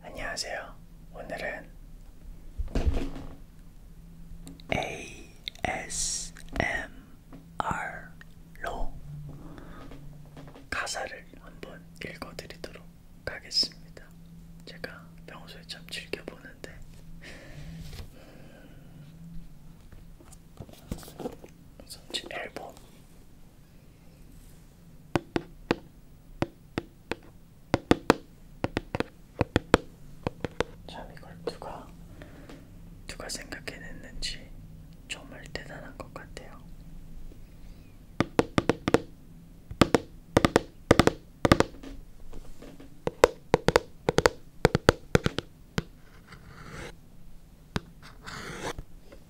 안녕하세요. 오늘은 ASMR로 가사를 한번 읽어드리도록 하겠습니다. 제가 평소에 참 즐겨보는데 음, 앨범 참 이걸 누가 누가 생각해냈는지 정말 대단한 것 같아요.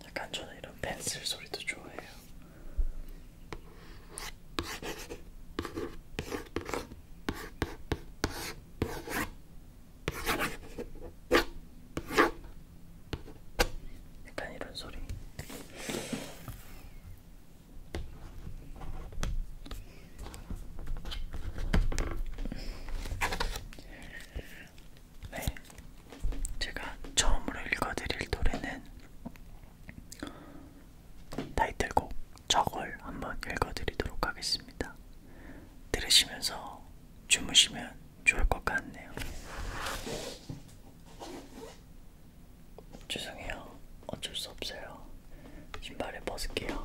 약간 저는 이런 펜슬 소리도 좋아해요. 약간 이런 소리. 네. 제가 처음으로 읽어드릴 노래는 타이틀곡 저걸 한번 읽어드리도록 하겠습니다. 들으시면서 주무시면 좋을 것 같네요. 죄송해요. 어쩔 수 없어요. 신발을 벗을게요.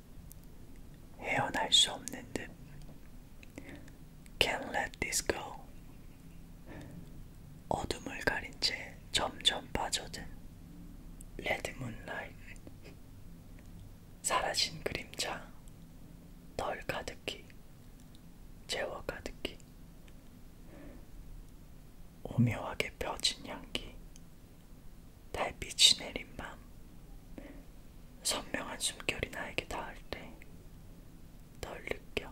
헤어날 수 없는 듯 Can't let this go 어둠을 가린 채 점점 빠져든 레드 문라이트 사라진 그림자 널 가득히 재워 가득히 오묘하게 펴진 향기 달빛이 내린 밤 선명한 숨결이 나에게 닿을 때널 느껴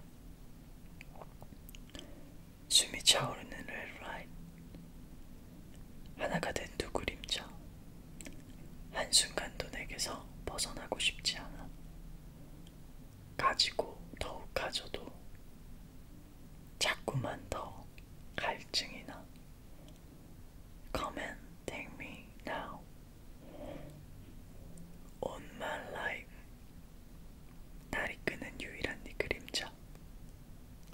숨이 차오르는 레드라인 하나가 된 두 그림자 한순간도 내게서 벗어나고 싶지 않아 가지고 더욱 가져도 자꾸만 더 갈증이나 Come and take me now. On my life. 날 이끄는 유일한 네 그림자.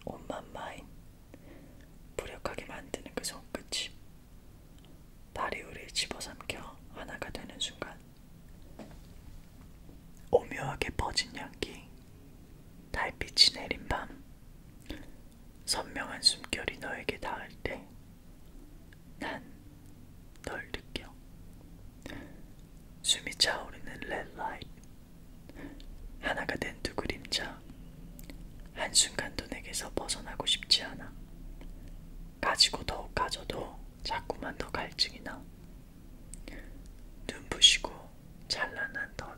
On my mind. 무력하게 만드는 그 손끝이. 날이 우리를 집어삼켜 하나가 되는 순간. 오묘하게 퍼진 향기. 달빛이 내린 밤. 선명한 숨결이 너에게 닿을 때 난 널 느껴 숨이 차오르는 red light 하나가 된 두 그림자 한순간도 내게서 벗어나고 싶지 않아 가지고 더욱 가져도 자꾸만 더 갈증이 나 눈부시고 찬란한 덧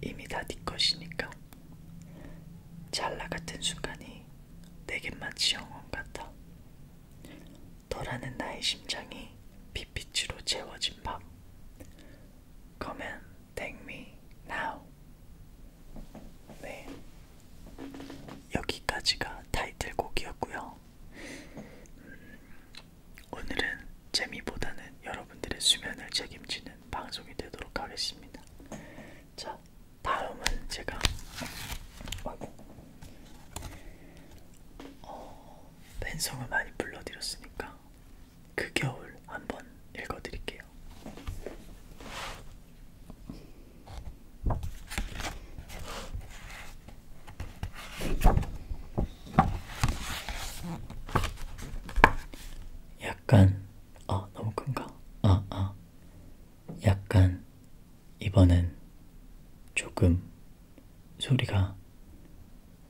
이미 다네 것이니까. 찰나 같은 순간이 내겐 마치 영원 같아. 너라는 나의 심장이 빛빛으로 채워진 밤. Come and take me now. 네, 여기까지가 타이틀곡이었고요. 음, 오늘은 재미보다는 여러분들의 수면을 책임지는 방송이 되도록 하겠습니다. 자, 다음은 제가 어, 팬송을 많이 불러드렸으니까 그 겨울 한번 읽어드릴게요. 약간 아 너무 큰가? 아아 어, 아. 어. 약간 이번엔 조금 소리가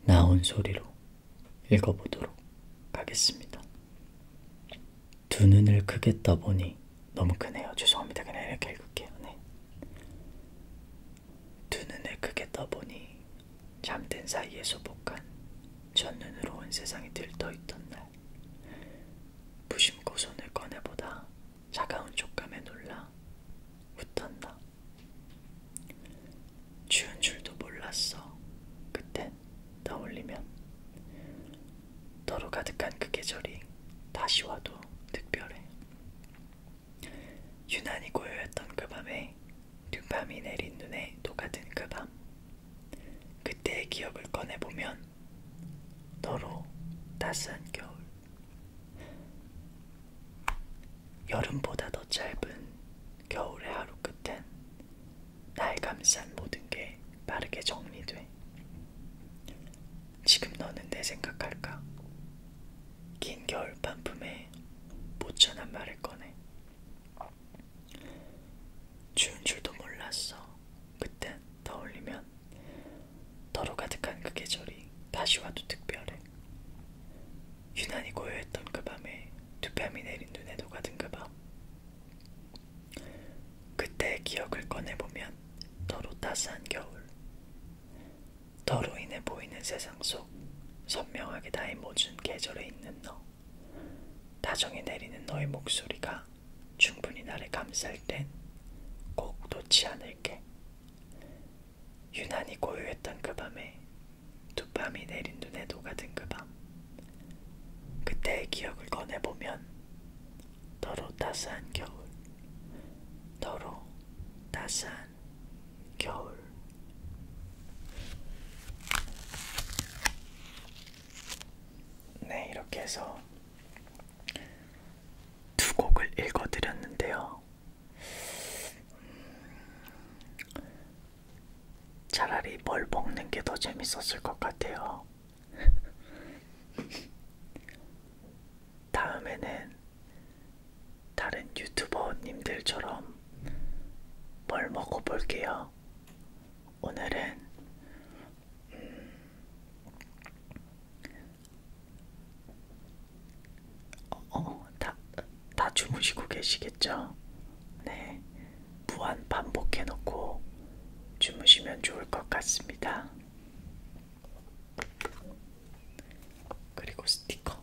나온 소리로 읽어보도록 하겠습니다. 두 눈을 크게 떠보니 너무 크네요. 죄송합니다. 그냥 이렇게 읽을게요. 네. 두 눈을 크게 떠보니 잠든 사이에 소복한 첫눈으로 온 세상이 들떠있던 날 무심코 손을 꺼내보다 차가운 촉감에 놀라 웃턴다. 추운 줄도 몰랐어. 그땐 떠올리면 너로 가득한 그 계절이 다시 와도 특별해. 유난히 고요했던 그 밤에 눈밤이 내린 눈에 녹아든 그밤 그때의 기억을 꺼내보면 너로 따스한 겨울 여름보다 더 짧은 겨울의 하루 끝엔 날 감싼 모든 게 빠르게 정리돼 지금 너는 내 생각할까 긴 겨울 반품에 모천한 말을 꺼내 추운 줄도 몰랐어. 그땐 더 올리면 더로 가득한 그 계절이 다시 와도 특별해. 유난히 고요했던 그 밤에 두 뺨이 내린 눈에 녹아든 그 밤. 그때의 기억을 꺼내보면 더로 따스한 겨울. 더로 인해 보이는 세상 속 선명하게 나의 모든 계절에 있는 너. 다정히 내리는 너의 목소리가 충분히 나를 감쌀 땐 꼭 놓지 않을게. 유난히 고요했던 그 밤에 두밤이 내린 눈에 녹아든 그 밤. 그때의 기억을 꺼내보면 너로 따스한 겨울, 너로 따스한 겨울. 네, 이렇게 해서 두 곡을 읽어드렸는데요. 차라리 뭘 먹는 게 더 재밌었을 것 같아요. 다음에는 다른 유튜버님들처럼 뭘 먹어볼게요. 오늘은 음, 어, 어, 다, 다 주무시고 계시겠죠? 네, 무한 반복해놓고 주무시면 좋을 것 같습니다. 그리고 스티커.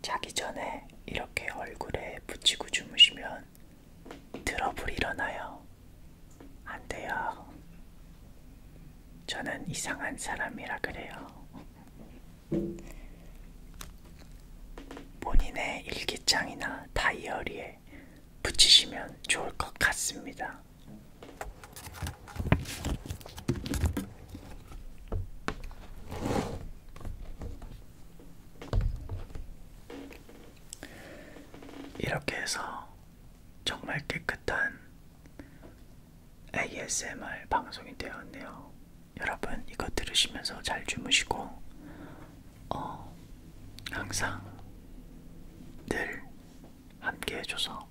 자기 전에 이렇게 얼굴에 붙이고 주무시면 트러블이 일어나요. 안 돼요. 저는 이상한 사람이라 그래요. 본인의 일기장이나 다이어리에 붙이시면 좋을 것 같습니다. 이렇게 해서 정말 깨끗한 ASMR 방송이 되었네요. 여러분 이거 들으시면서 잘 주무시고 어, 항상 늘 함께 해줘서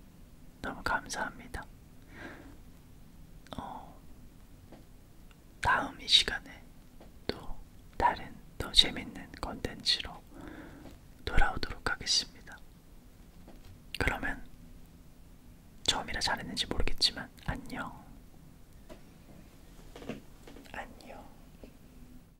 너무 감사합니다. 어, 다음 이 시간에 또 다른 더 재밌는 컨텐츠로 돌아오도록 하겠습니다. 그러면 처음이라 잘했는지 모르겠지만 안녕. 안녕.